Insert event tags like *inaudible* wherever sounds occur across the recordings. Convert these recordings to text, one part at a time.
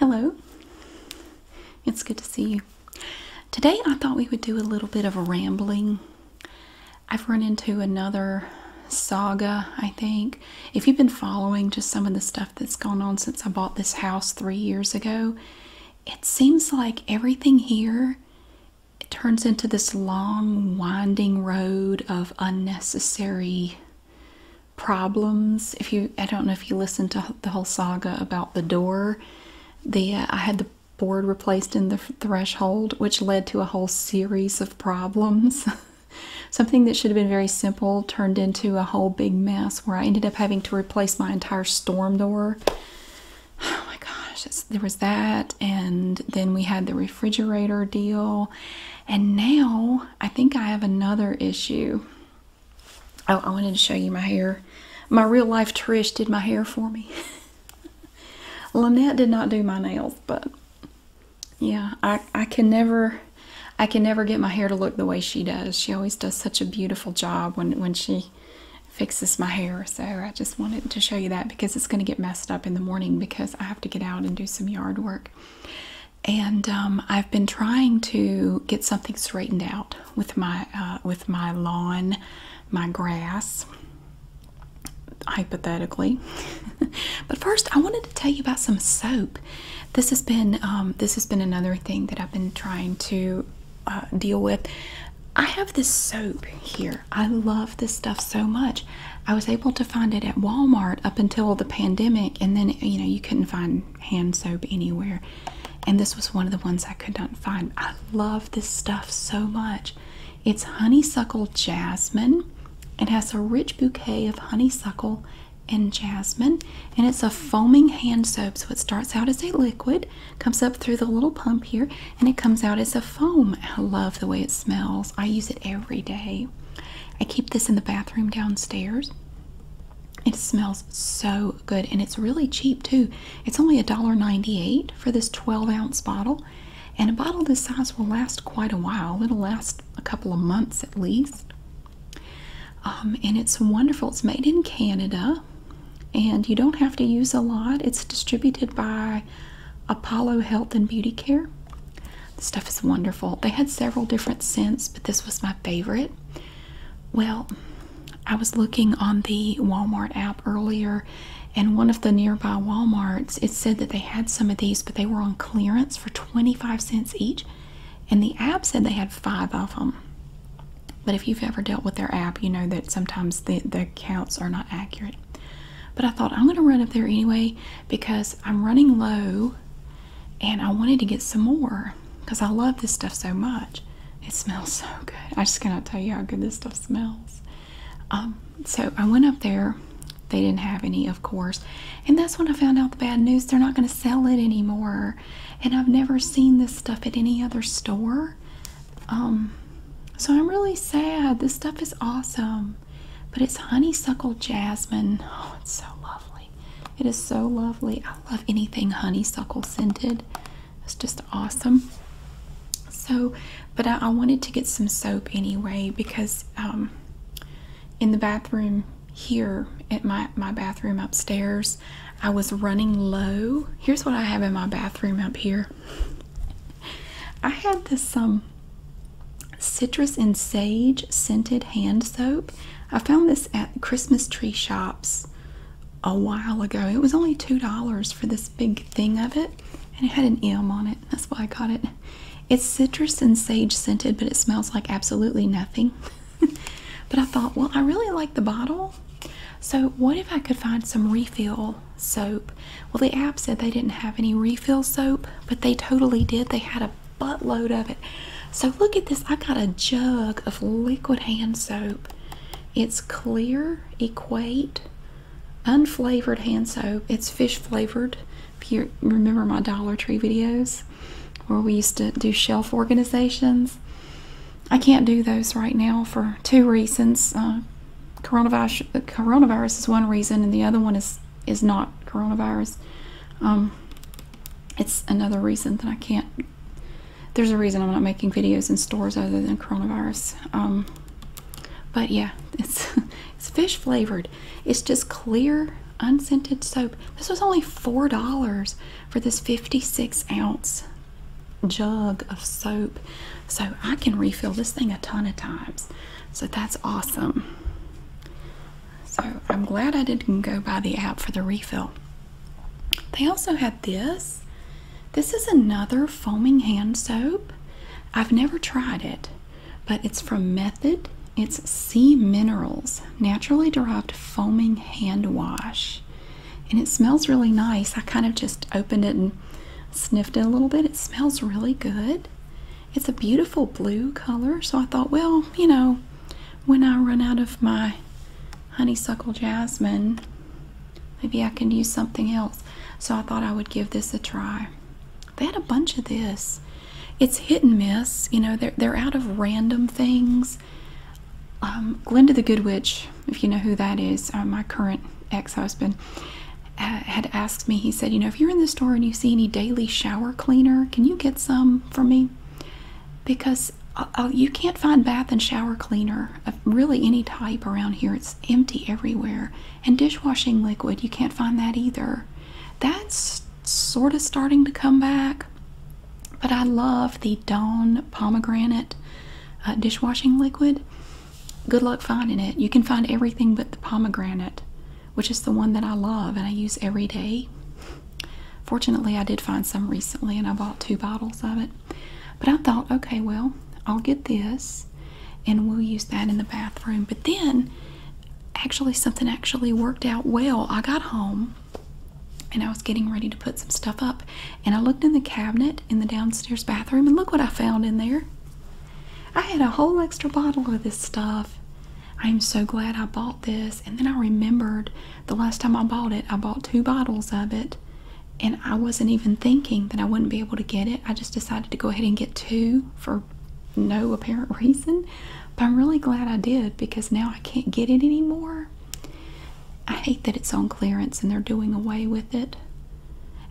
Hello, it's good to see you. Today I thought we would do a little bit of rambling. I've run into another saga, I think. If you've been following just some of the stuff that's gone on since I bought this house three years ago, it seems like everything here turns into this long, winding road of unnecessary problems. If you, I don't know if you listened to the whole saga about the door. The uh, I had the board replaced in the threshold, which led to a whole series of problems. *laughs* Something that should have been very simple turned into a whole big mess where I ended up having to replace my entire storm door. *sighs* Oh my gosh, there was that, and then we had the refrigerator deal, and now I think I have another issue. Oh, I wanted to show you my hair. My real life Trish did my hair for me. *laughs* Lynette did not do my nails, but yeah, I, I can never I can never get my hair to look the way she does. She always does such a beautiful job when, when she fixes my hair. So I just wanted to show you that because it's going to get messed up in the morning because I have to get out and do some yard work and um, I've been trying to get something straightened out with my uh, with my lawn, my grass. Hypothetically, *laughs* but first I wanted to tell you about some soap. This has been um, this has been another thing that I've been trying to uh, deal with. I have this soap here. I love this stuff so much. I was able to find it at Walmart up until the pandemic, and then you know you couldn't find hand soap anywhere. And this was one of the ones I could not find. I love this stuff so much. It's honeysuckle jasmine. It has a rich bouquet of honeysuckle and jasmine. And it's a foaming hand soap. So it starts out as a liquid, comes up through the little pump here, and it comes out as a foam. I love the way it smells. I use it every day. I keep this in the bathroom downstairs. It smells so good and it's really cheap too. It's only a dollar ninety-eight for this 12 ounce bottle. And a bottle this size will last quite a while. It'll last a couple of months at least. Um, and it's wonderful. It's made in Canada and you don't have to use a lot. It's distributed by Apollo Health and Beauty Care. The stuff is wonderful. They had several different scents, but this was my favorite. Well, I was looking on the Walmart app earlier, and one of the nearby Walmarts, it said that they had some of these, but they were on clearance for 25 cents each. And the app said they had five of them. But if you've ever dealt with their app, you know that sometimes the, counts are not accurate. But I thought I'm going to run up there anyway because I'm running low and I wanted to get some more because I love this stuff so much. It smells so good. I just cannot tell you how good this stuff smells. Um, so I went up there. They didn't have any, of course. And that's when I found out the bad news. They're not going to sell it anymore. And I've never seen this stuff at any other store. Um, so I'm really sad. This stuff is awesome. But it's honeysuckle jasmine. Oh, it's so lovely. It is so lovely. I love anything honeysuckle scented. It's just awesome. So, but I, wanted to get some soap anyway because um, in the bathroom here at my, my bathroom upstairs, I was running low. Here's what I have in my bathroom up here. I had this um citrus and sage scented hand soap I found this at Christmas tree shops a while ago. It was only $2 for this big thing of it, and it had an M on it. That's why I got it. It's citrus and sage scented, but it smells like absolutely nothing. *laughs* but I thought, well, I really like the bottle. So, what if I could find some refill soap? Well, the app said they didn't have any refill soap, but they totally did. They had a buttload of it. So look at this. I got a jug of liquid hand soap. It's clear, equate, unflavored hand soap. It's fish flavored. If you remember my Dollar Tree videos where we used to do shelf organizations. I can't do those right now for two reasons. Uh, coronavirus, uh, coronavirus is one reason, and the other one is is not coronavirus. Um, it's another reason that I can't there's a reason I'm not making videos in stores other than coronavirus. Um, but yeah, *laughs* it's it's fish flavored. It's just clear, unscented soap. This was only four dollars for this 56 ounce jug of soap. So I can refill this thing a ton of times. So that's awesome. So I'm glad I didn't go buy the app for the refill. They also had this. This is another foaming hand soap. I've never tried it, but it's from Method. It's Sea Minerals, naturally derived foaming hand wash. And it smells really nice. I kind of just opened it and sniffed it a little bit. It smells really good. It's a beautiful blue color, so I thought, well, you know, when I run out of my honeysuckle jasmine, maybe I can use something else. So I thought I would give this a try. They had a bunch of this. It's hit and miss, you know, they're, they're out of random things. Um, Glenda the Good Witch, if you know who that is, uh, my current ex husband, uh, had asked me, he said, You know, if you're in the store and you see any daily shower cleaner, can you get some for me? Because uh, uh, you can't find bath and shower cleaner really any type around here. It's empty everywhere. And dishwashing liquid, you can't find that either. That's sort of starting to come back. But I love the Dawn pomegranate uh, dishwashing liquid. Good luck finding it. You can find everything but the pomegranate, which is the one that I love and I use every day. Fortunately, I did find some recently and I bought two bottles of it. But I thought, okay, well, I'll get this and we'll use that in the bathroom. But then, actually, something actually worked out well. I got home and I was getting ready to put some stuff up. And I looked in the cabinet in the downstairs bathroom and look what I found in there. I had a whole extra bottle of this stuff. I am so glad I bought this. And then I remembered the last time I bought it, I bought two bottles of it, and I wasn't even thinking that I wouldn't be able to get it. I just decided to go ahead and get two for no apparent *laughs* reason. But I'm really glad I did because now I can't get it anymore. I hate that it's on clearance and they're doing away with it.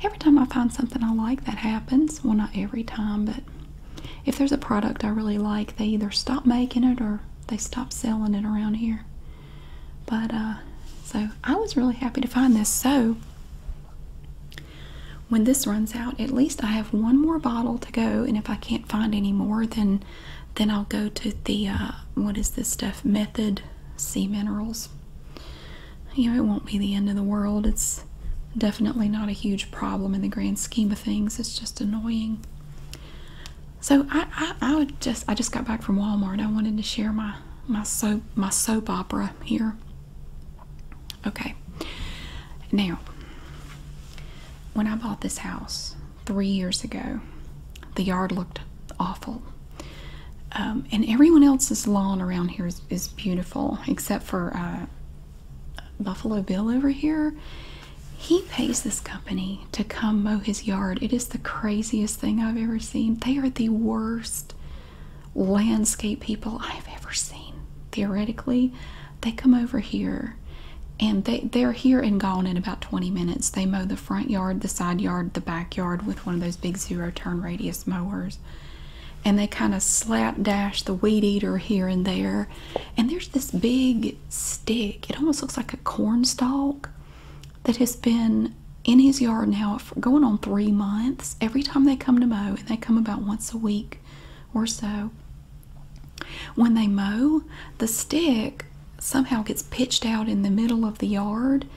Every time I find something I like, that happens. Well, not every time, but if there's a product I really like, they either stop making it or they stopped selling it around here. But uh so I was really happy to find this. So when this runs out, at least I have one more bottle to go and if I can't find any more then then I'll go to the uh what is this stuff? Method Sea Minerals. You know, it won't be the end of the world. It's definitely not a huge problem in the grand scheme of things. It's just annoying. So I, I, would just I just got back from Walmart. I wanted to share my my soap my soap opera here. Okay. Now, when I bought this house three years ago, the yard looked awful. Um, and everyone else's lawn around here is, is beautiful, except for uh, Buffalo Bill over here. He pays this company to come mow his yard. It is the craziest thing I've ever seen. They are the worst landscape people I've ever seen. Theoretically, they come over here and they, they're here and gone in about 20 minutes. They mow the front yard, the side yard, the backyard with one of those big zero turn radius mowers. And they kind of slap dash the weed eater here and there. And there's this big stick. It almost looks like a like corn stalk that has been in his yard now going on three months. Every time they come to mow, and they come about once a week or so, when they mow, the stick somehow gets pitched out in the middle of the yard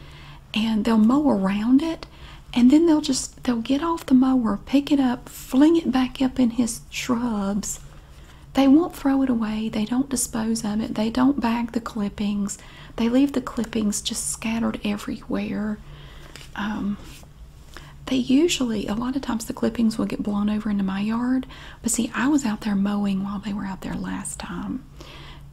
and they'll mow around it and then they'll just they'll get off the mower pick it up fling it back up in his shrubs they won't throw it away, they don't dispose of it, they don't bag the clippings, they leave the clippings just scattered everywhere. Um, they usually, a lot of times, the clippings will get blown over into my yard. But see, I was out there mowing while they were out there last time.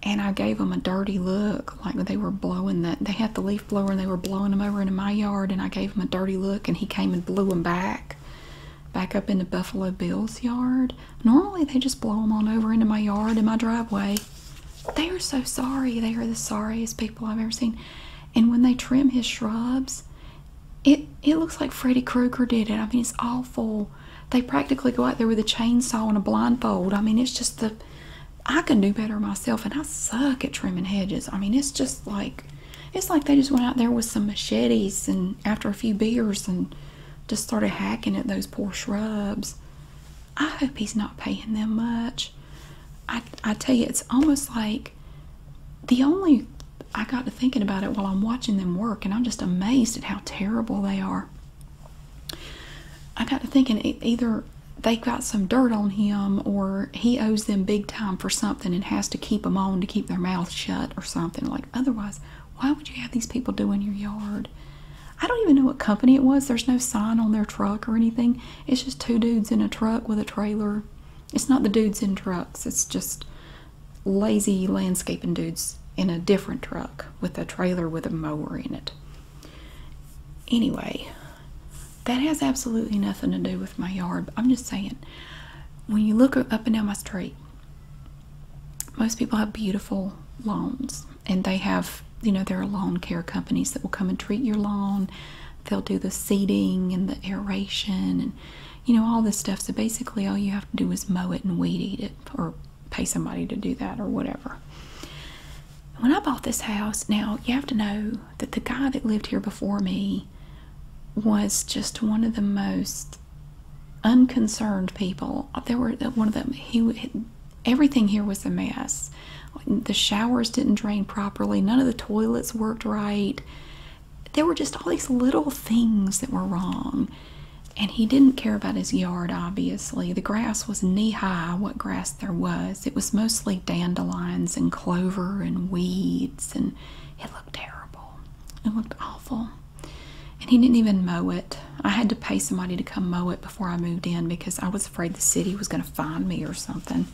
And I gave them a dirty look, like they were blowing that. They had the leaf blower and they were blowing them over into my yard. And I gave them a dirty look, and he came and blew them back back up into Buffalo Bill's yard. Normally they just blow them on over into my yard in my driveway. They are so sorry. They are the sorriest people I've ever seen. And when they trim his shrubs, it it looks like Freddy Krueger did it. I mean, it's awful. They practically go out there with a chainsaw and a blindfold. I mean, it's just the I can do better myself, and I suck at trimming hedges. I mean, it's just like it's like they just went out there with some machetes and after a few beers and just started hacking at those poor shrubs. I hope he's not paying them much. I, I tell you, it's almost like the only. I got to thinking about it while I'm watching them work, and I'm just amazed at how terrible they are. I got to thinking either they got some dirt on him or he owes them big time for something and has to keep them on to keep their mouths shut or something like otherwise why would you have these people doing your yard? I don't even know what company it was. There's no sign on their truck or anything. It's just two dudes in a truck with a trailer. It's not the dudes in trucks, it's just lazy landscaping dudes in a different truck with a trailer with a mower in it. Anyway, that has absolutely nothing to do with my yard. I'm just saying, when you look up and down my street, most people have beautiful lawns and they have you know there are lawn care companies that will come and treat your lawn they'll do the seeding and the aeration and you know all this stuff so basically all you have to do is mow it and weed eat it or pay somebody to do that or whatever when i bought this house now you have to know that the guy that lived here before me was just one of the most unconcerned people. There were one of them. He everything here was a mess. The showers didn't drain properly. None of the toilets worked right. There were just all these little things that were wrong. And he didn't care about his yard, obviously. The grass was knee high, what grass there was. It was mostly dandelions and clover and weeds, and it looked terrible. It looked awful and he didn't even mow it. I had to pay somebody to come mow it before I moved in because I was afraid the city was going to find me or something.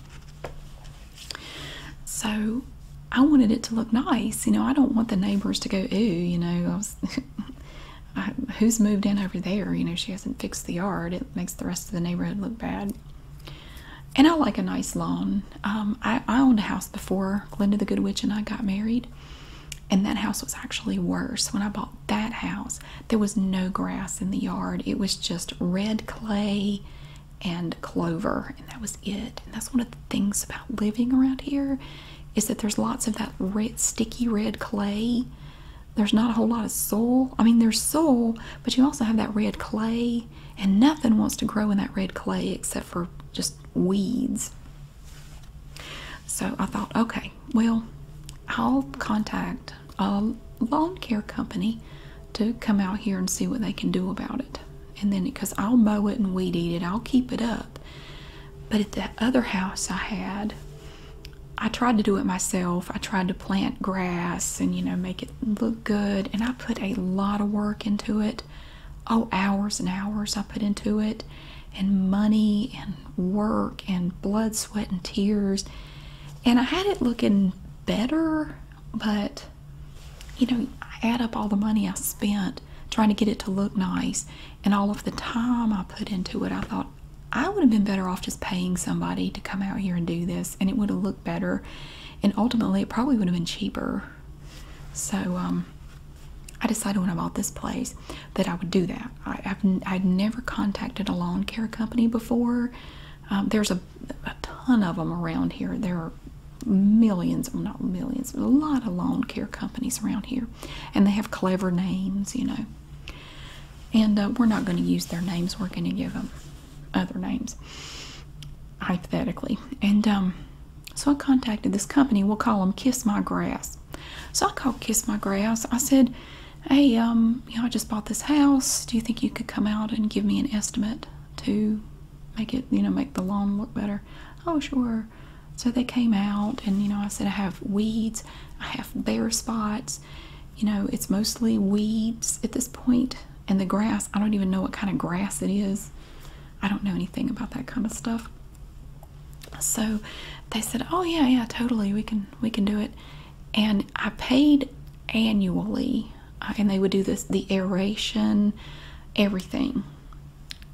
So I wanted it to look nice. You know, I don't want the neighbors to go, ooh, you know, *laughs* who's moved in over there? You know, she hasn't fixed the yard. It makes the rest of the neighborhood look bad. And I like a nice lawn. Um, I, owned a house before Glenda the Good Witch and I got married, and that house was actually worse. When I bought that house, there was no grass in the yard, it was just red clay and clover, and that was it. And that's one of the things about living around here is that there's lots of that red, sticky red clay. There's not a whole lot of soil. I mean, there's soil, but you also have that red clay, and nothing wants to grow in that red clay except for just weeds. So I thought, okay, well, I'll contact a lawn care company to come out here and see what they can do about it. And then, because I'll mow it and weed eat it, I'll keep it up. But at that other house I had, I tried to do it myself. I tried to plant grass and, you know, make it look good. And I put a lot of work into it oh, hours and hours I put into it, and money, and work, and blood, sweat, and tears. And I had it looking better, but you know, I add up all the money I spent trying to get it to look nice and all of the time I put into it. I thought I would have been better off just paying somebody to come out here and do this, and it would have looked better. And ultimately, it probably would have been cheaper so um, I decided when I bought this place that I would do that. I, have I'd never contacted a lawn care company before. Um, there's a, a ton of them around here. There are millions, well, not millions, but a lot of lawn care companies around here. And they have clever names, you know. And uh, we're not going to use their names. We're going to give them other names, hypothetically. And um, so I contacted this company. We'll call them Kiss My Grass. So I called Kiss My Grass. I said, "Hey, um, you I just bought this house. Do you think you could come out and give me an estimate to make it, you know, make the lawn look better?" Oh, sure. So they came out, and you know, I said, "I have weeds. I have bare spots. You know, it's mostly weeds at this point, and the grass. I don't even know what kind of grass it is." I don't know anything about that kind of stuff. So they said, "Oh yeah, yeah, totally. We can we can do it." And I paid annually, uh, and they would do this the aeration, everything.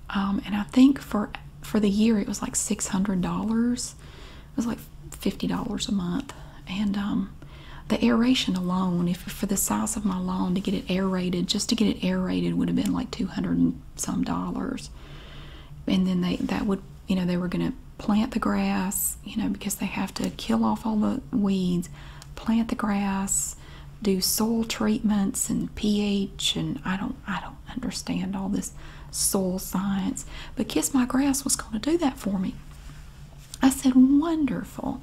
Um, and I think for for the year it was like six hundred dollars. It was like fifty dollars a month, and um, the aeration alone, if for the size of my lawn to get it it aerated. Just to get it aerated would have been like two hundred and some dollars. And then they that would you know they were going to plant the grass you know because they have to kill off all the weeds, plant the grass, do soil treatments and pH and I don't I don't understand all this soil science. But Kiss My Grass was going to do that for me. I said wonderful.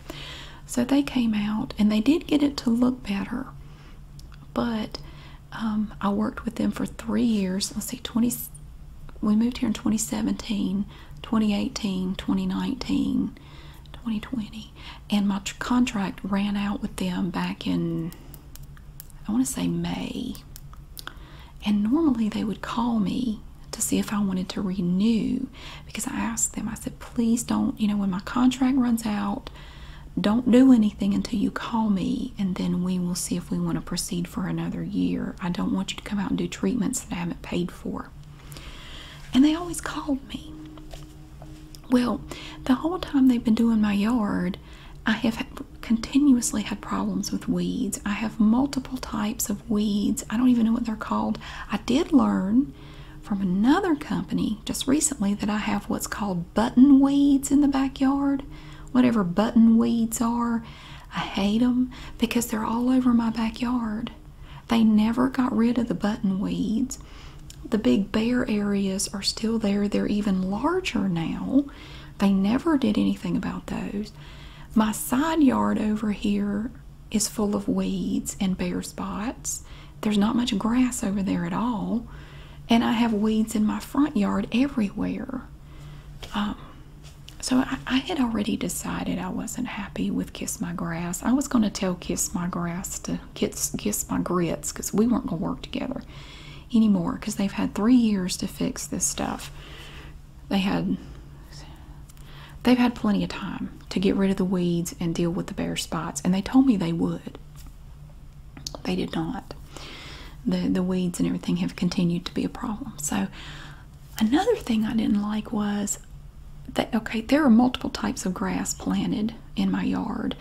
So they came out and they did get it to look better. But um, I worked with them for three years. Let's 20, we moved here in 2017, 2018, 2019, 2020. And my contract ran out with them back in, I want to say May. And normally they would call me to see if I wanted to renew because I asked them, I said, please don't, you know, when my contract runs out, don't do anything until you call me and then we will see if we want to proceed for another year i don't want you to come out and do treatments that i haven't paid for and they always called me well the whole time they've been doing my yard i have continuously had problems with weeds i have multiple types of weeds i don't even know what they're called i did learn from another company just recently that I have what's called button weeds in the backyard. Whatever button weeds are, I hate them because they're all over my backyard. They never got rid of the button weeds. The big bare areas are still there. They're even larger now. They never did anything about those. My side yard over here is full of weeds and bare spots. There's not much grass over there at all. And I have weeds in my front yard everywhere. Um, so I, I had already decided I wasn't happy with Kiss My Grass. I was going to tell Kiss My Grass to kiss, kiss My Grits because we weren't going to work together anymore because they've had three years to fix this stuff. They had they've had plenty of time to get rid of the weeds and deal with the bare spots and they told me they would they did not. The, the weeds and everything have continued to be a problem. So, another thing I didn't like was that, okay, there are multiple types of grass planted in my yard.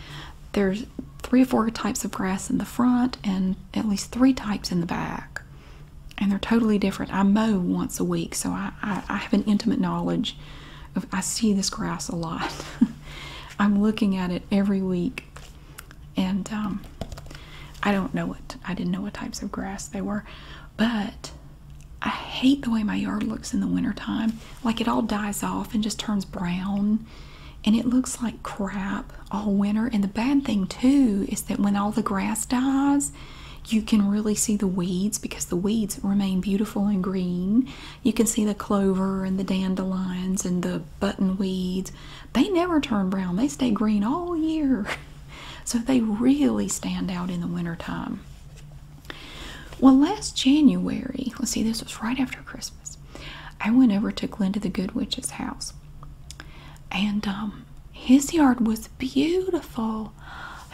There's three or four types of grass in the front and at least three types in the back. And they're totally different. I mow once a week, so I, I, I have an intimate knowledge of I see this grass a lot. *laughs* I'm looking at it every week, and um, I don't know what I didn't know what types of grass they were, but I hate the way my yard looks in the wintertime. Like it all dies off and just turns brown, and it looks like crap all winter. And the bad thing too is that when all the grass dies, you can really see the weeds because the weeds remain beautiful and green, you can see the clover and the dandelions and the button weeds. They never turn brown, they stay green all year. *laughs* So they really stand out in the wintertime. Well, last January, let's see, this was right after Christmas, I went over to Glenda the Good Witch's house. And um, his yard was beautiful.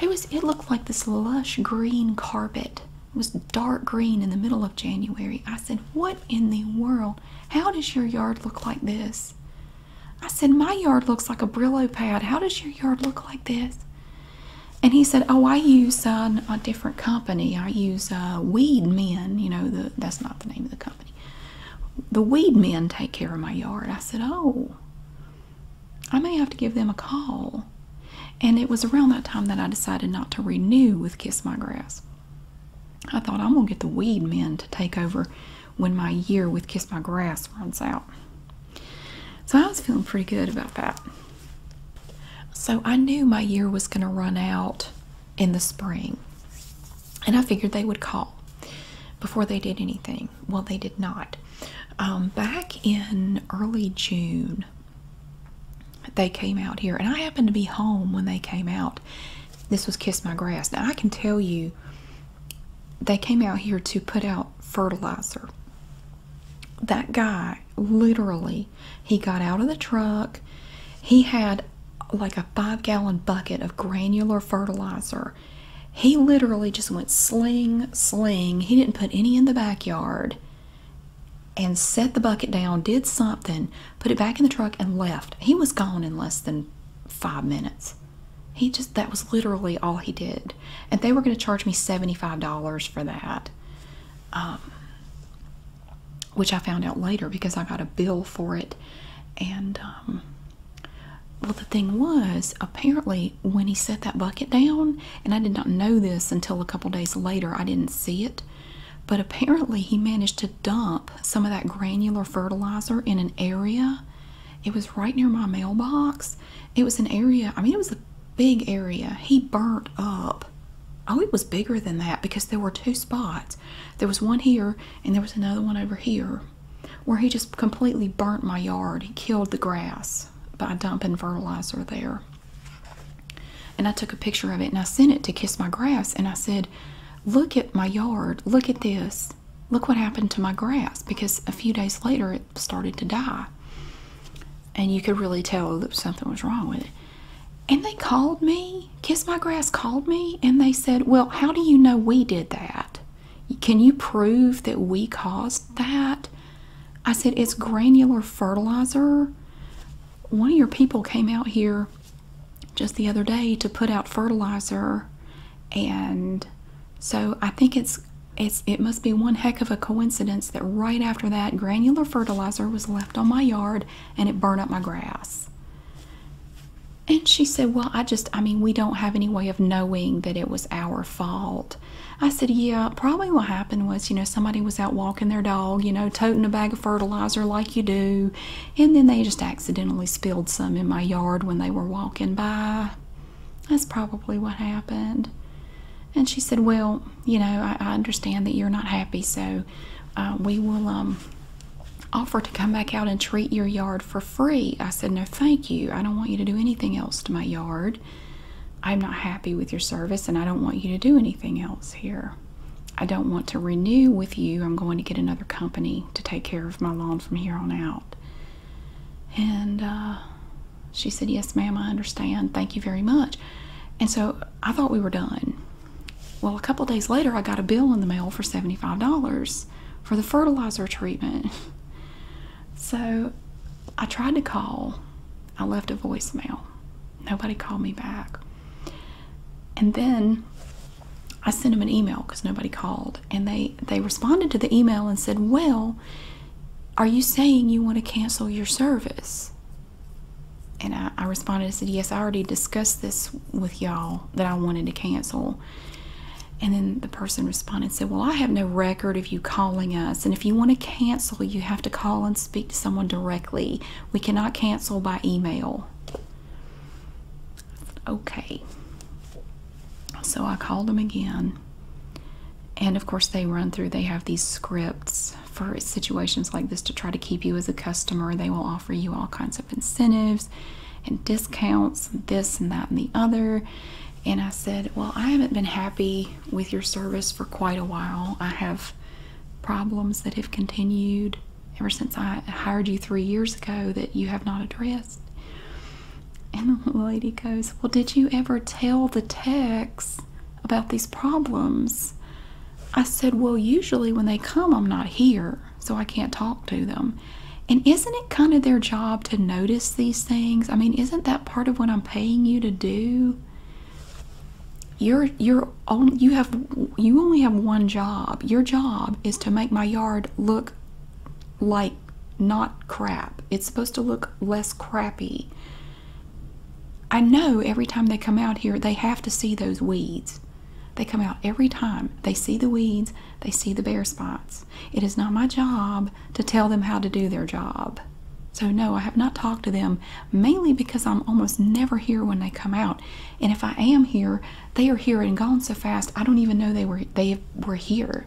It was it looked like this lush green carpet was dark green in the middle of January. I said, What in the world? How does your yard look like this? I said, My yard looks like a Brillo pad. How does your yard look like this? And he said, Oh, I use uh, a different company. I use uh, Weed Men. You know, the, that's not the name of the company. The Weed Men take care of my yard. I said, Oh, I may have to give them a call. And it was around that time that I decided not to renew with Kiss My Grass. I thought I'm gonna get the weed men to take over when my year with Kiss My Grass runs out. So I was feeling pretty good about that. So I knew my year was gonna run out in the spring. And I figured they would call before they did anything. Well, they did not. Um, back in early June they came out here, and I happened to be home when they came out. This was Kiss My Grass. Now, I can tell you, they came out here to put out fertilizer. That guy, literally, he got out of the truck. He had like a five gallon bucket of granular fertilizer. He literally just went sling, sling. He didn't put any in the backyard and set the bucket down, did something, put it back in the truck, and left. He was gone in less than five minutes. He just, that was literally all he did. And they were going to charge me $75 for that, um, which I found out later because I got a bill for it. And, um, well, the thing was, apparently, when he set that bucket down, and I did not know this until a couple days later. I didn't see it. But apparently, he managed to dump some of that granular fertilizer in an area. It was right near my mailbox. It was an area, I mean, it was a big area. He burnt up. Oh, it was bigger than that because there were two spots. There was one here, and there was another one over here where he just completely burnt my yard. He killed the grass by dumping fertilizer there. And I took a picture of it and I sent it to Kiss My Grass and I said, Look at my yard. Look at this. Look what happened to my grass because a few days later it started to die. And you could really tell that something was wrong with it. And they called me. Kiss My Grass called me and they said, Well, how do you know we did that? Can you prove that we caused that? I said, It's granular fertilizer. One of your people came out here just the other day to put out fertilizer and so I think it's it's it must be one heck of a coincidence that right after that granular fertilizer was left on my yard and it burned up my grass. And she said, "Well, I just I mean, we don't have any way of knowing that it was our fault." I said, Yeah, probably what happened was, you know, somebody was out walking their dog, you know, toting a bag of fertilizer like you do, and then they just accidentally spilled some in my yard when they were walking by. That's probably what happened. And she said, Well, you know, I, understand that you're not happy, so uh, we will um, offer to come back out and treat your yard for free. I said, No, thank you. I don't want you to do anything else to my yard. I'm not happy with your service and I don't want you to do anything else here. I don't want to renew with you. I'm going to get another company to take care of my lawn from here on out. And uh, she said, Yes, ma'am, I understand. Thank you very much. And so I thought we were done. Well, a couple days later, I got a bill in the mail for $75 for the fertilizer treatment. *laughs* so I tried to call, I left a voicemail. Nobody called me back. And then I sent them an email because nobody called. And they, they responded to the email and said, Well, are you saying you want to cancel your service? And I, responded and said, Yes, I already discussed this with y'all that I wanted to cancel. And then the person responded said, Well, I have no record of you calling us. And if you want to cancel, you have to call and speak to someone directly. We cannot cancel by email. Okay. So I called them again. And of course, they run through, they have these scripts for situations like this to try to keep you as a customer. They will offer you all kinds of incentives and discounts, this and that and the other. And I said, Well, I haven't been happy with your service for quite a while. I have problems that have continued ever since I hired you three years ago that you have not addressed. And the *laughs* lady goes, Well, did you ever tell the techs about these problems? I said, Well, usually when they come, I'm not here, so I can't talk to them. And isn't it kind of their job to notice these things? I mean, isn't that part of what I'm paying you to do? You're you're only you have you only have one job. Your job is to make my yard look like not crap. It's supposed to look less crappy. I know every time they come out here, they have to see those weeds. They come out every time. They see the weeds, they see the bare spots. It is not my job to tell them how to do their job. So, no, I have not talked to them mainly because I'm almost never here when they come out. And if I am here, they are here and gone so fast I don't even know they were they were here.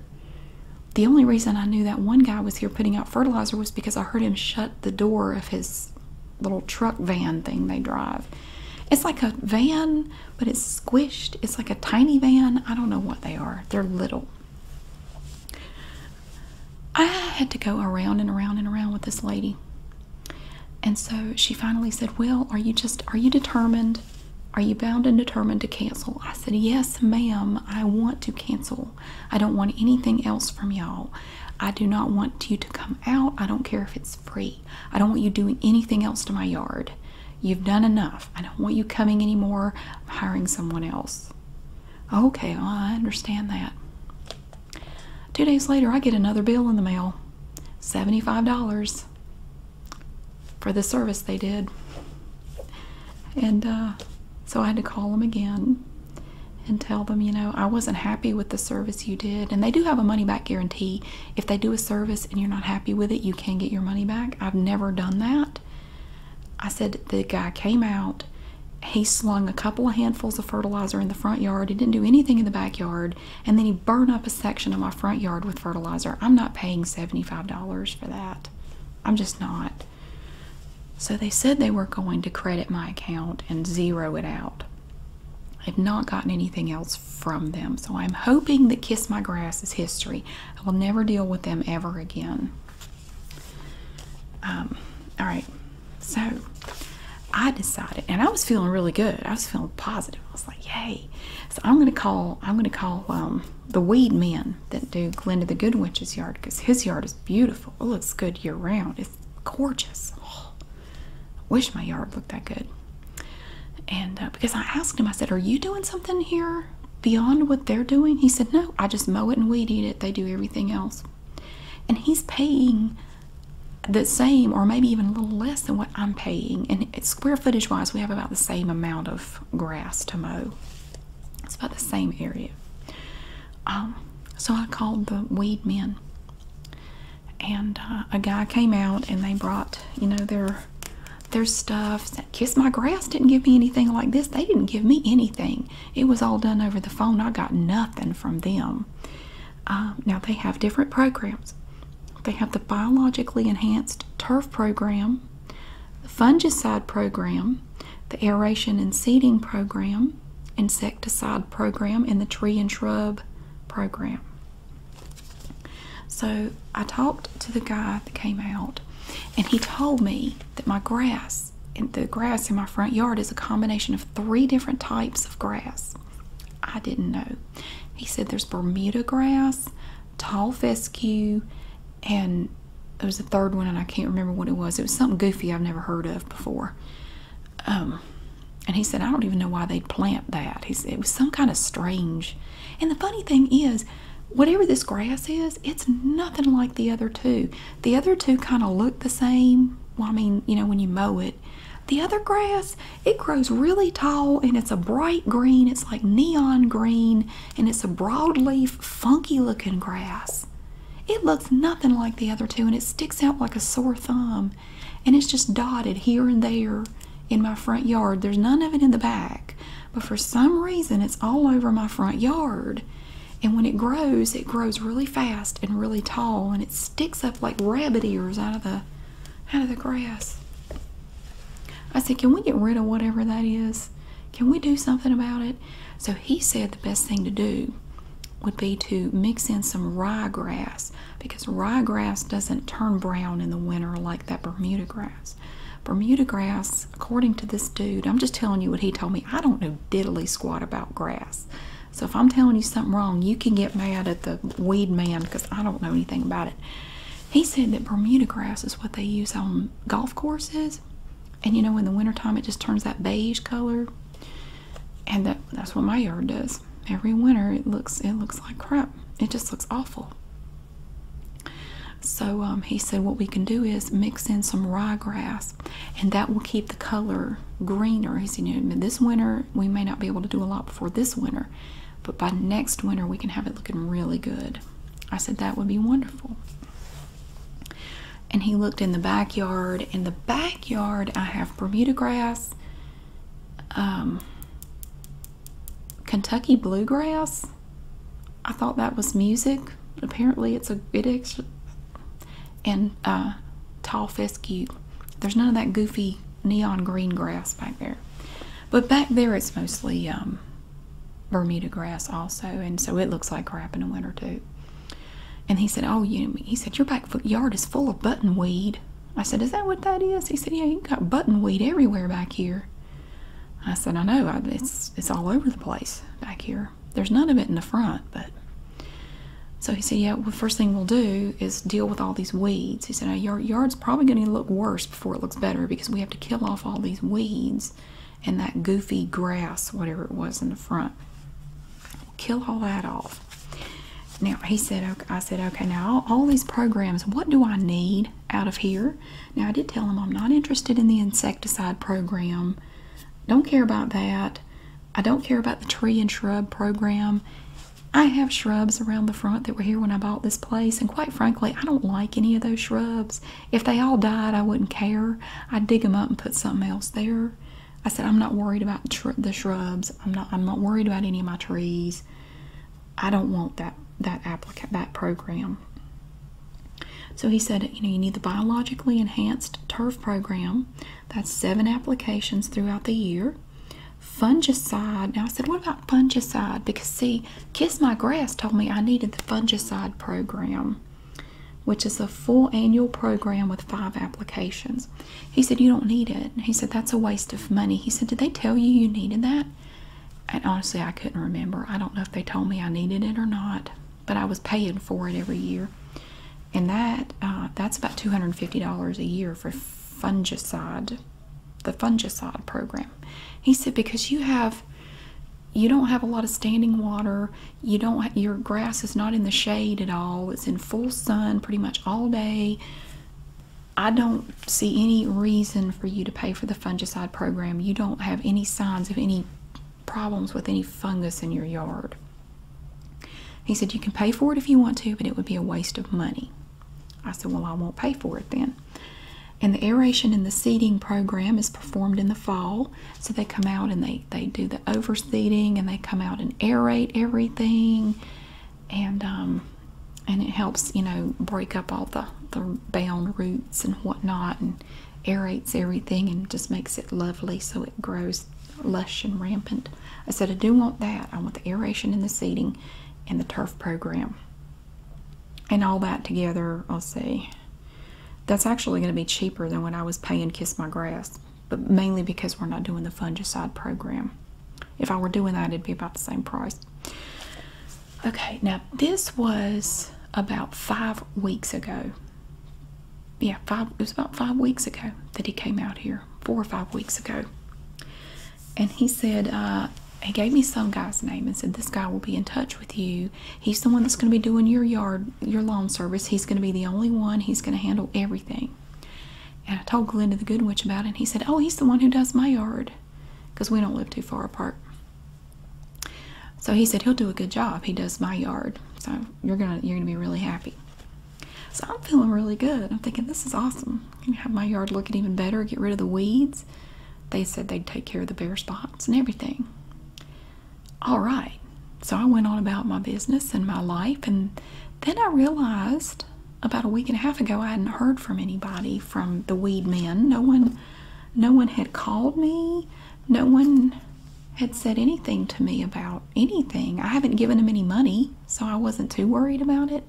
The only reason I knew that one guy was here putting out fertilizer was because I heard him shut the door of his little truck van thing they drive. It's like a van, but it's squished. It's like a tiny van. I don't know what they are. They're little. I had to go around and around and around with this lady. And so she finally said, Well, are you just, are you determined? Are you bound and determined to cancel? I said, Yes, ma'am. I want to cancel. I don't want anything else from y'all. I do not want you to come out. I don't care if it's free. I don't want you doing anything else to my yard. You've done enough. I don't want you coming anymore. I'm hiring someone else. Okay, I understand that. Two days later, I get another bill in the mail $75 for the service they did. And uh, so I had to call them again and tell them, you know, I wasn't happy with the service you did. And they do have a money back guarantee. If they do a service and you're not happy with it, you can get your money back. I've never done that. I said the guy came out. He slung a couple of handfuls of fertilizer in the front yard. He didn't do anything in the backyard. And then he burned up a section of my front yard with fertilizer. I'm not paying $75 for that. I'm just not. So they said they were going to credit my account and zero it out. I've not gotten anything else from them. So I'm hoping that Kiss My Grass is history. I will never deal with them ever again. Um, all right, so I decided, and I was feeling really good. I was feeling positive. I was like, "Yay!" So I'm gonna call. I'm gonna call um, the weed men that do Glenda the Good Witch's yard because his yard is beautiful. It looks good year round. It's gorgeous. Oh, wish my yard looked that good. And uh, because I asked him, I said, "Are you doing something here?" Beyond what they're doing, he said, No, I just mow it and weed eat it. They do everything else and he's paying the same or maybe even a little less than what I'm paying and square footage wise we have about the same amount of grass to mow it's about the same area um, so I called the weed men and uh, a guy came out and they brought you know their their stuff kiss my grass didn't give me anything like this they didn't give me anything it was all done over the phone. I got nothing from them. Uh, now they have different programs. They have the biologically enhanced turf program, the fungicide program, the aeration and seeding program, insecticide program, and the tree and shrub program. So I talked to the guy that came out, and he told me that my grass the grass in my front yard is a combination of three different types of grass. I didn't know. He said there's Bermuda grass, tall fescue, and there was a third one, and I can't remember what it was. It was something goofy I've never heard of before. Um, and he said, I don't even know why they'd plant that. He said it was some kind of strange. And the funny thing is, whatever this grass is, it's nothing like the other two. The other two kind of look the same. Well, I mean, you know, when you mow it. The other grass, it grows really tall and it's a bright green. It's like neon green and it's a broadleaf, funky looking grass. It looks nothing like the other two and it sticks out like a sore thumb. And it's just dotted here and there in my front yard. There's none of it in the back, but for some reason it's all over my front yard. And when it grows, it grows really fast and really tall, and it sticks up like rabbit ears out of the out of the grass. I said, "Can we get rid of whatever that is? Can we do something about it?" So he said the best thing to do would be to mix in some rye grass because rye grass doesn't turn brown in the winter like that Bermuda grass. Bermuda grass, according to this dude, I'm just telling you what he told me. I don't know diddly squat about grass. So if I'm telling you something wrong, you can get mad at the weed man because I don't know anything about it. He said that Bermuda grass is what they use on golf courses. And you know, in the wintertime, it just turns that beige color. And that's what my yard does. Every winter, it looks it looks like crap. It just looks awful. So um, he said, what we can do is mix in some rye grass and that will keep the color greener as you know this winter we may not be able to do a lot before this winter but by next winter we can have it looking really good i said that would be wonderful and he looked in the backyard in the backyard i have bermuda grass um, kentucky bluegrass i thought that was music apparently it's a it and uh, tall fescue. There's none of that goofy neon green grass back there. But back there, it's mostly um, Bermuda grass also, and so it looks like crap in the winter too. And he said, "Oh, you." He said, "Your back yard is full of buttonweed." I said, "Is that what that is?" He said, "Yeah, you got buttonweed everywhere back here." I said, "I know. I, it's it's all over the place back here." There's none of it in the front, but so he said, yeah, well, first thing we'll do is deal with all these weeds. He said, our yard's probably going to look worse before it looks better because we have to kill off all these weeds and that goofy grass, whatever it was in the front. kill all that off. Now, he said, okay, I said, okay, now all these programs, what do I need out of here? Now, I did tell him I'm not interested in the insecticide program don't care about that. I don't care about the tree and shrub program. I have shrubs around the front that were here when I bought this place, and quite frankly, I don't like any of those shrubs. If they all died, I wouldn't care. I'd dig them up and put something else there. I said I'm not worried about the shrubs. I'm not. I'm not worried about any of my trees. I don't want that that applicant that program. So he said, you know, you need the biologically enhanced turf program that's seven applications throughout the year. Fungicide. Now I said, what about fungicide? Because see, Kiss My Grass told me I needed the fungicide program, which is a full annual program with five applications. He said, You don't need it. He said, That's a waste of money. He said, Did they tell you you needed that? And honestly, I couldn't remember. I don't know if they told me I needed it or not but I was paying for it every year, and that uh, that's about two hundred and fifty dollars a year for fungicide, the fungicide program. He said because you have, you don't have a lot of standing water. You don't your grass is not in the shade at all. It's in full sun pretty much all day. I don't see any reason for you to pay for the fungicide program. You don't have any signs of any problems with any fungus in your yard. He said, You can pay for it if you want to, but it would be a waste of money. I said, Well, I won't pay for it then. And the aeration and the seeding program is performed in the fall. So they come out and they, they do the overseeding and they come out and aerate everything. And, um, and it helps, you know, break up all the, the bound roots and whatnot and aerates everything and just makes it lovely so it grows lush and rampant. I said, I do want that. I want the aeration and the seeding and the turf program. And all that together, I'll see. that's actually going to be cheaper than when I was paying Kiss My Grass, but mainly because we're not doing the fungicide program. If I were doing that, it'd be about the same price. Okay, now this was about five weeks ago yeah, five, it was about five weeks ago that he came out here, four or five weeks ago. And he said, uh, he gave me some guy's name and said, This guy will be in touch with you. He's the one that's going to be doing your yard, your lawn service. He's going to be the only one. He's going to handle everything. And I told Glenda the Good Witch about it, and he said, Oh, he's the one who does my yard because we don't live too far apart. So he said he'll do a good job. He does my yard. So you're gonna you're gonna be really happy. So I'm feeling really good. I'm thinking this is awesome. I can have my yard looking even better, get rid of the weeds. They said they'd take care of the bare spots and everything. All right. So I went on about my business and my life and then I realized about a week and a half ago I hadn't heard from anybody from the weed men. No one no one had called me. No one had said anything to me about anything. I haven't given them any money, so I wasn't too worried about it.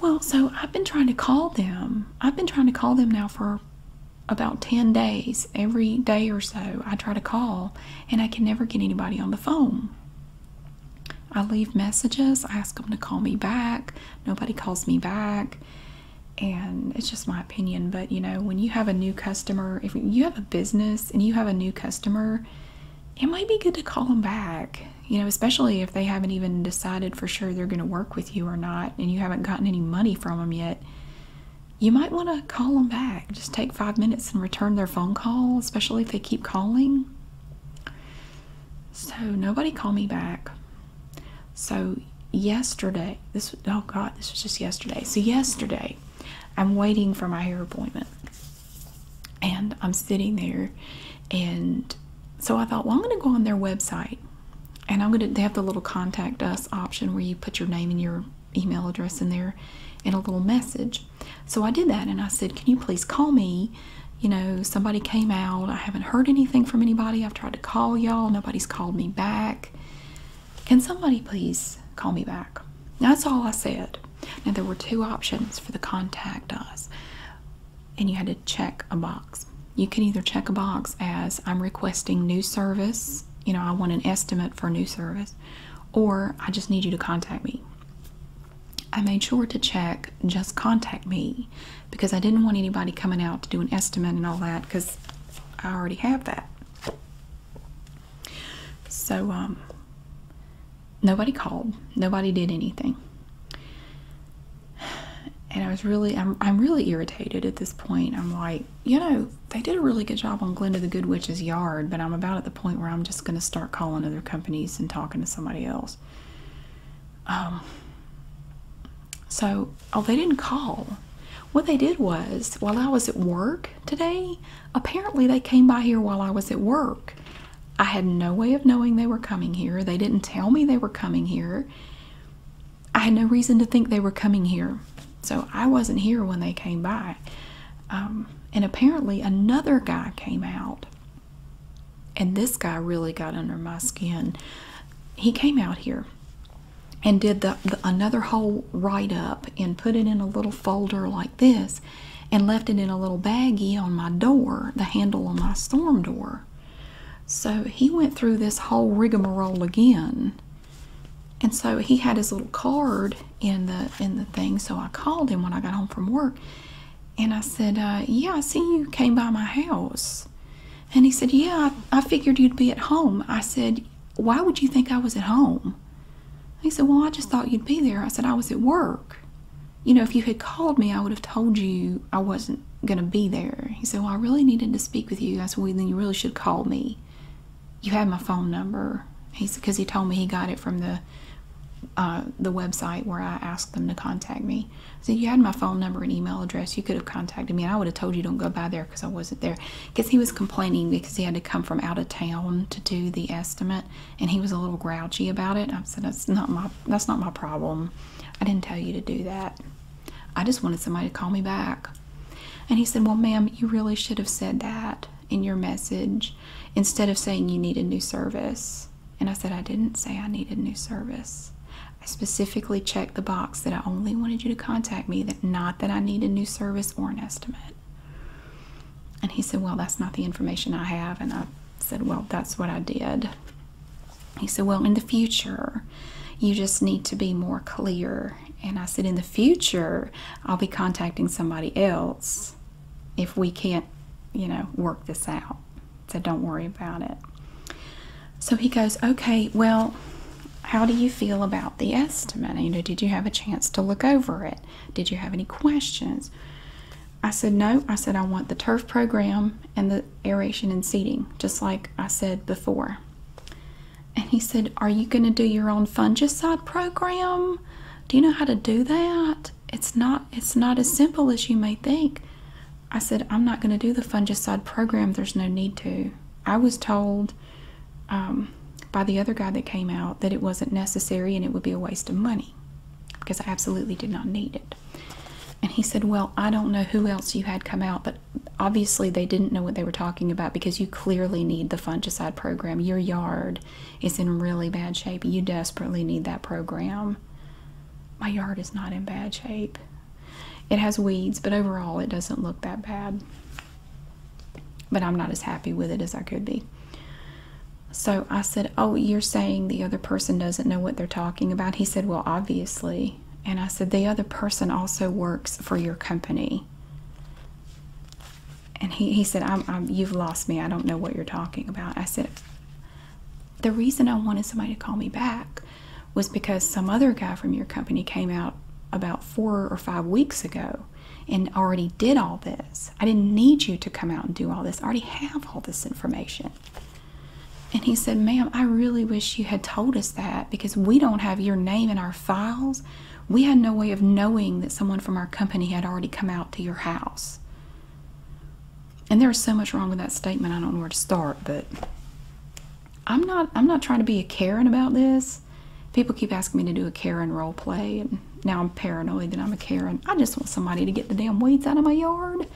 Well, so I've been trying to call them. I've been trying to call them now for about 10 days. Every day or so, I try to call, and I can never get anybody on the phone. I leave messages, I ask them to call me back. Nobody calls me back. And it's just my opinion, but you know, when you have a new customer, if you have a business and you have a new customer, it might be good to call them back, you know, especially if they haven't even decided for sure they're going to work with you or not and you haven't gotten any money from them yet. You might want to call them back. Just take five minutes and return their phone call, especially if they keep calling. So, nobody called me back. So, yesterday, this, oh God, this was just yesterday. So, yesterday, I'm waiting for my hair appointment. And I'm sitting there, and so I thought, well, I'm going to go on their website, and I'm going to. They have the little contact us option where you put your name and your email address in there, and a little message. So I did that, and I said, can you please call me? You know, somebody came out. I haven't heard anything from anybody. I've tried to call y'all. Nobody's called me back. Can somebody please call me back? That's all I said. Now, there were two options for the contact us, and you had to check a box. You can either check a box as I'm requesting new service, you know, I want an estimate for new service, or I just need you to contact me. I made sure to check just contact me because I didn't want anybody coming out to do an estimate and all that because I already have that. So, um, nobody called, nobody did anything. And I was really, I'm, I'm really irritated at this point. I'm like, you know, they did a really good job on Glenda the Good Witch's yard, but I'm about at the point where I'm just going to start calling other companies and talking to somebody else. Um, so, oh, they didn't call. What they did was, while I was at work, today. Apparently, they came by here while I was at work. I had no way of knowing they were coming here. They didn't tell me they were coming here. I had no reason to think they were coming here. So I wasn't here when they came by. Um, and apparently, another guy came out. And this guy really got under my skin. He came out here and did the, another whole write up and put it in a little folder like this and left it in a little baggie on my door, the handle on my storm door. So he went through this whole rigmarole again. And so he had his little card in the in the thing. So I called him when I got home from work, and I said, uh, "Yeah, I see you came by my house." And he said, "Yeah, I, I figured you'd be at home." I said, why would you think I was at home? He said, Well, I just thought you'd be there. I said, I was at work. You know, if you had called me, I would have told you I wasn't going to be there. He said, Well, I really needed to speak with you. I said, Well, then you really should call me. You had my phone number. He said, Because he told me he got it from the uh, the website where I asked them to contact me. I said, You had my phone number and email address. You could have contacted me, and I would have told you don't go by there because I wasn't there because he was complaining because he had to come from out of town to do the estimate and he was a little grouchy about it i said that's not my that's not my problem i didn't tell you to do that i just wanted somebody to call me back and he said well ma'am you really should have said that in your message instead of saying you need a new service and i said i didn't say i needed new service i specifically checked the box that I only wanted you to contact me, that not that I need a new service or an estimate. And he said, Well, that's not the information I have. And I said, Well, that's what I did. He said, Well, in the future, you just need to be more clear. And I said, In the future, I'll be contacting somebody else if we can't, you know, work this out. So don't worry about it. So he goes, Okay, well, how do you feel about the estimate? You know, did you have a chance to look over it? Did you have any questions? I said, no. I said, I want the turf program and the aeration and seeding, just like I said before. And he said, Are you going to do your own fungicide program? Do you know how to do that? It's not it's not as simple as you may think. I said, I'm not going to do the fungicide program. There's no need to. I was told um, by the other guy that came out that it wasn't necessary and it would be a waste of money because I absolutely did not need it. And he said, Well, I don't know who else you had come out, but obviously they didn't know what they were talking about because you clearly need the fungicide program. Your yard is in really bad shape. You desperately need that program. My yard is not in bad shape. It has weeds, but overall it doesn't look that bad. But I'm not as happy with it as I could be. So I said, Oh, you're saying the other person doesn't know what they're talking about? He said, Well, obviously. And I said, The other person also works for your company. And he, he said, I'm, I'm, You've lost me. I don't know what you're talking about. I said, The reason I wanted somebody to call me back was because some other guy from your company came out about four or five weeks ago and already did all this. I didn't need you to come out and do all this. I already have all this information. And he said, Ma'am, I really wish you had told us that because we don't have your name in our files. We had no way of knowing that someone from our company had already come out to your house. And there is so much wrong with that statement, I don't know where to start, but I'm not I'm not trying to be a Karen about this. People keep asking me to do a Karen role play and now I'm paranoid that I'm a Karen. I just want somebody to get the damn weeds out of my yard.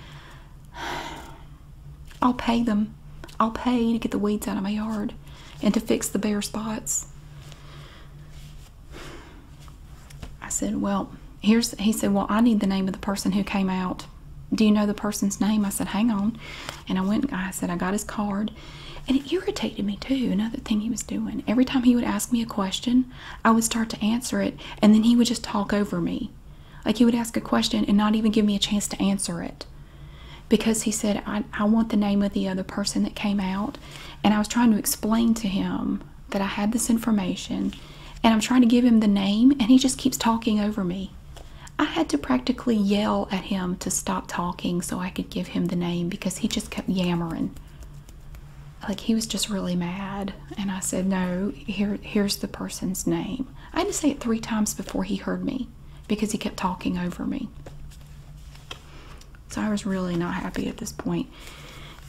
*sighs* I'll pay them. I'll pay to get the weeds out of my yard and to fix the bare spots. I said, Well, here's, he said, Well, I need the name of the person who came out. Do you know the person's name? I said, Hang on and I went. I said I got his card, and it irritated me too. Another thing he was doing. Every time he would ask me a question, I would start to answer it, and then he would just talk over me. Like he would ask a question and not even give me a chance to answer it, because he said I, want the name of the other person that came out, and I was trying to explain to him that I had this information, and I'm trying to give him the name, and he just keeps talking over me. I had to practically yell at him to stop talking so I could give him the name because he just kept yammering. Like he was just really mad. And I said, No, here here's the person's name. I had to say it three times before he heard me because he kept talking over me. So I was really not happy at this point.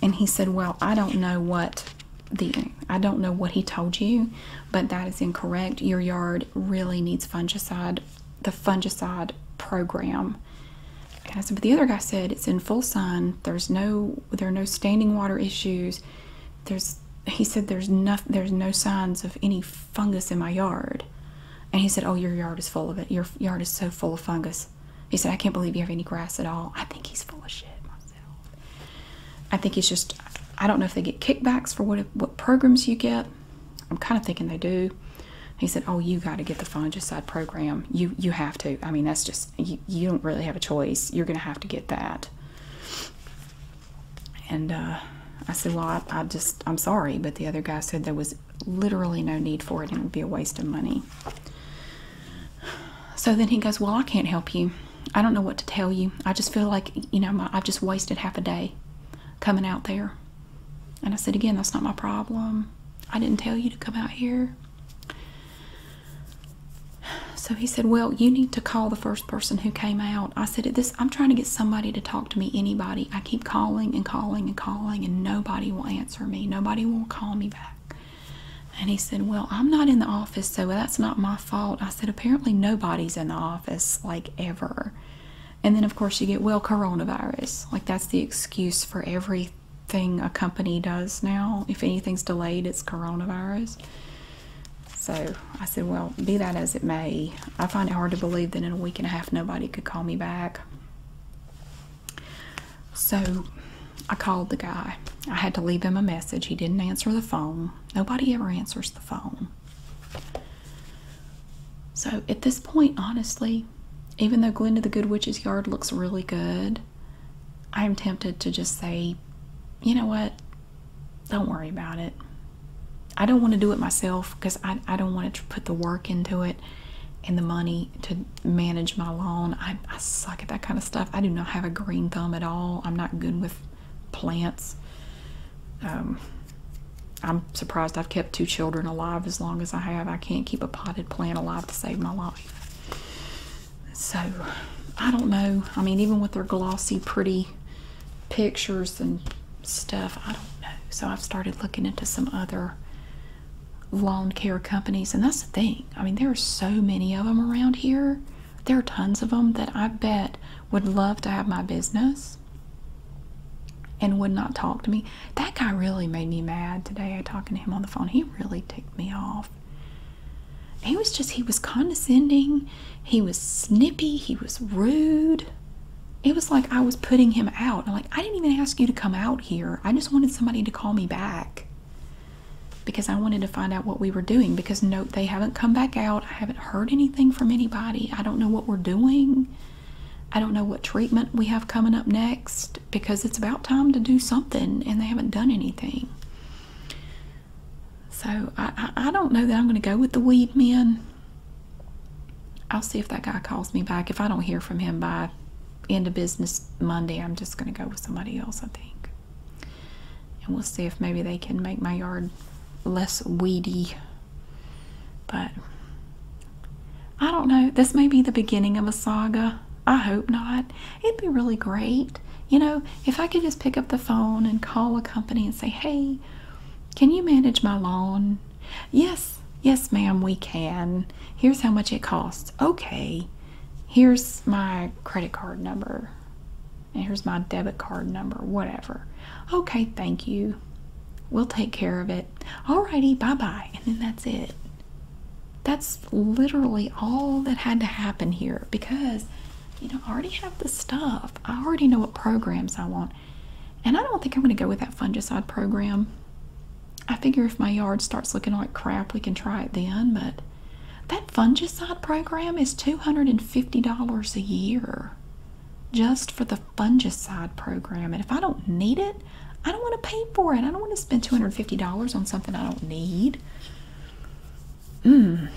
And he said, Well, I don't know what the I don't know what he told you, but that is incorrect. Your yard really needs fungicide, the fungicide program. Okay, so but the other guy said it's in full sun. There's no, there are no standing water issues. There's, he said, there's nothing. there's no signs of any fungus in my yard. And he said, oh, your yard is full of it. Your yard is so full of fungus. He said, I can't believe you have any grass at all. I think he's full of shit myself. I think he's just, I don't know if they get kickbacks for what, what programs you get. I'm kind of thinking they do. He said, "Oh, you got to get the fungicide program. You you have to. I mean, that's just you, you don't really have a choice. You're going to have to get that." And uh, I said, "Well, I, just I'm sorry, but the other guy said there was literally no need for it and it would be a waste of money." So then he goes, "Well, I can't help you. I don't know what to tell you. I just feel like you know I've just wasted half a day coming out there." And I said, Again, that's not my problem. I didn't tell you to come out here. So he said, Well, you need to call the first person who came out. I said, This I'm trying to get somebody to talk to me, anybody. I keep calling and calling and calling, and nobody will answer me. Nobody will call me back. And he said, Well, I'm not in the office, so that's not my fault. I said, Apparently, nobody's in the office, like ever. And then, of course, you get, well, coronavirus. Like, that's the excuse for everything a company does now. If anything's delayed, it's coronavirus. So I said, well, be that as it may, I find it hard to believe that in a week and a half nobody could call me back. So I called the guy. I had to leave him a message. He didn't answer the phone. Nobody ever answers the phone. So at this point, honestly, even though Glinda the Good Witch's Yard looks really good, I am tempted to just say, you know what? Don't worry about it. I don't want to do it myself because I, I don't want to put the work into it and the money to manage my lawn. I suck at that kind of stuff. I do not have a green thumb at all. I'm not good with plants. Um, I'm surprised I've kept two children alive as long as I have. I can't keep a potted plant alive to save my life. So, I don't know. I mean, even with their glossy, pretty pictures and stuff, I don't know. So, I've started looking into some other lawn care companies. And that's the thing. I mean, there are so many of them around here. There are tons of them that I bet would love to have my business and would not talk to me. That guy really made me mad today talking to him on the phone. He really ticked me off. He was just, he was condescending. He was snippy. He was rude. It was like I was putting him out. like, I didn't even ask you to come out here. I just wanted somebody to call me back because I wanted to find out what we were doing. Because, nope, they haven't come back out. I haven't heard anything from anybody. I don't know what we're doing. I don't know what treatment we have coming up next because it's about time to do something and they haven't done anything. So I, don't know that I'm going to go with the weed men. I'll see if that guy calls me back. If I don't hear from him by end of business Monday, I'm just going to go with somebody else, I think. And we'll see if maybe they can make my yard less weedy but I don't know. This may be the beginning of a saga. I hope not. It'd be really great. You know, if I could just pick up the phone and call a company and say, hey, can you manage my lawn? Yes, yes, ma'am, we can. Here's how much it costs. Okay, here's my credit card number. And here's my debit card number, whatever. Okay, thank you. We'll take care of it. Alrighty, bye bye. And then that's it. That's literally all that had to happen here because, you know, I already have the stuff. I already know what programs I want. And I don't think I'm going to go with that fungicide program. I figure if my yard starts looking like crap, we can try it then. But that fungicide program is $250 a year just for the fungicide program. And if I don't need it, I don't want to pay for it. I don't want to spend $250 on something I don't need. Mm.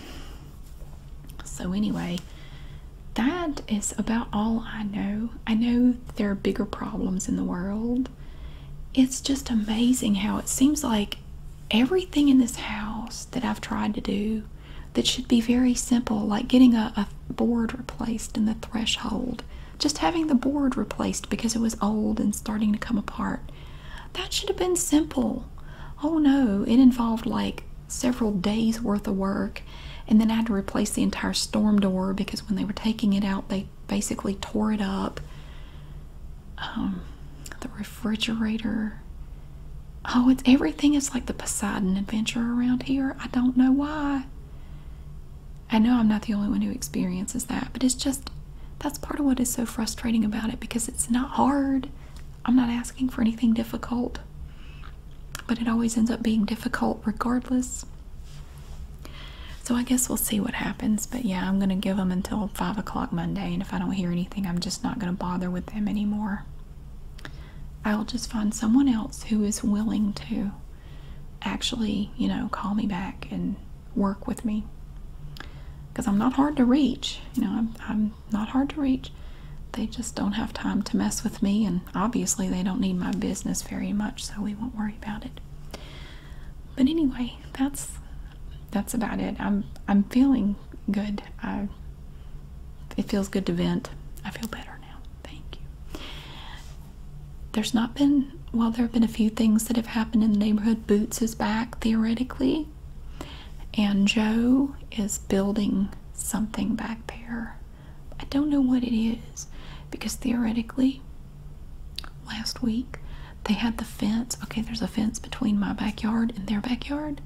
So, anyway, that is about all I know. I know there are bigger problems in the world. It's just amazing how it seems like everything in this house that I've tried to do that should be very simple, like getting a board replaced in the threshold. Just having the board replaced because it was old and starting to come apart. That should have been simple. Oh no, it involved like several days worth of work. And then I had to replace the entire storm door because when they were taking it out, they basically tore it up. Um, the refrigerator. Oh, it's everything It's like the Poseidon adventure around here. I don't know why. I know I'm not the only one who experiences that, but it's just that's part of what is so frustrating about it because it's not hard. I'm not asking for anything difficult, but it always ends up being difficult regardless. So I guess we'll see what happens. But yeah, I'm going to give them until 5 o'clock Monday, and if I don't hear anything, I'm just not going to bother with them anymore. I'll just find someone else who is willing to actually, you know, call me back and work with me. Because I'm not hard to reach. You know, I'm, not hard to reach. They just don't have time to mess with me, and obviously, they don't need my business very much, so we won't worry about it. But anyway, that's that's about it. I'm I'm feeling good. I it feels good to vent. I feel better now. Thank you. There's not been, well, there have been a few things that have happened in the neighborhood. Boots is back, theoretically. And Joe is building something back there. I don't know what it is because theoretically, last week they had the fence. Okay, there's a fence between my backyard and their backyard.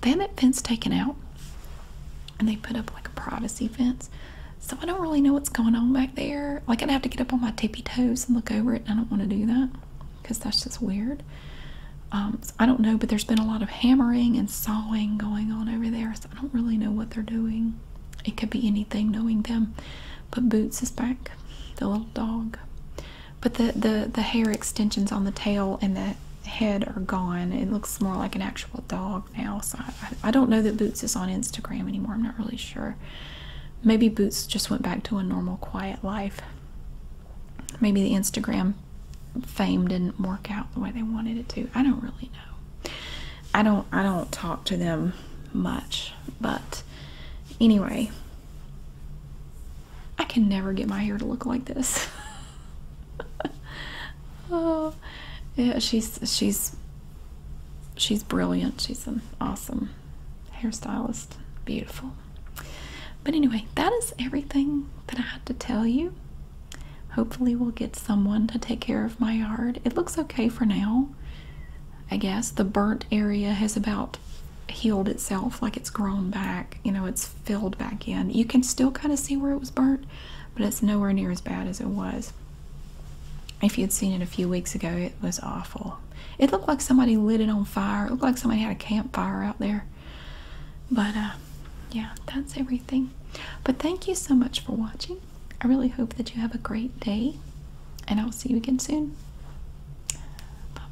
They had that fence taken out and they put up like a privacy fence. So I don't really know what's going on back there. Like I'd have to get up on my tippy toes and look over it. I don't want to do that because that's just weird. Um, I don't know, but there's been a lot of hammering and sawing going on over there. So I don't really know what they're doing. It could be anything knowing them. But Boots is back, the little dog. But the, the, the hair extensions on the tail and the head are gone. It looks more like an actual dog now, so I don't know that Boots is on Instagram anymore. I'm not really sure. Maybe Boots just went back to a normal, quiet life. Maybe the Instagram fame didn't work out the way they wanted it to. I don't really know. I don't. I don't talk to them much, but anyway, I can never get my hair to look like this. *laughs* *laughs* oh, yeah, she's she's she's brilliant. She's an awesome hairstylist. Beautiful. But anyway, that is everything that I had to tell you. Hopefully, we'll get someone to take care of my yard. It looks okay for now. I guess the burnt area has about healed itself, like it's grown back. You know, it's filled back in. You can still kind of see where it was burnt, but it's nowhere near as bad as it was. If you'd seen it a few weeks ago, it was awful. It looked like somebody lit it on fire. It looked like somebody had a campfire out there. But uh, yeah, that's everything. But thank you so much for watching. I really hope that you have a great day, and I'll see you again soon. bye.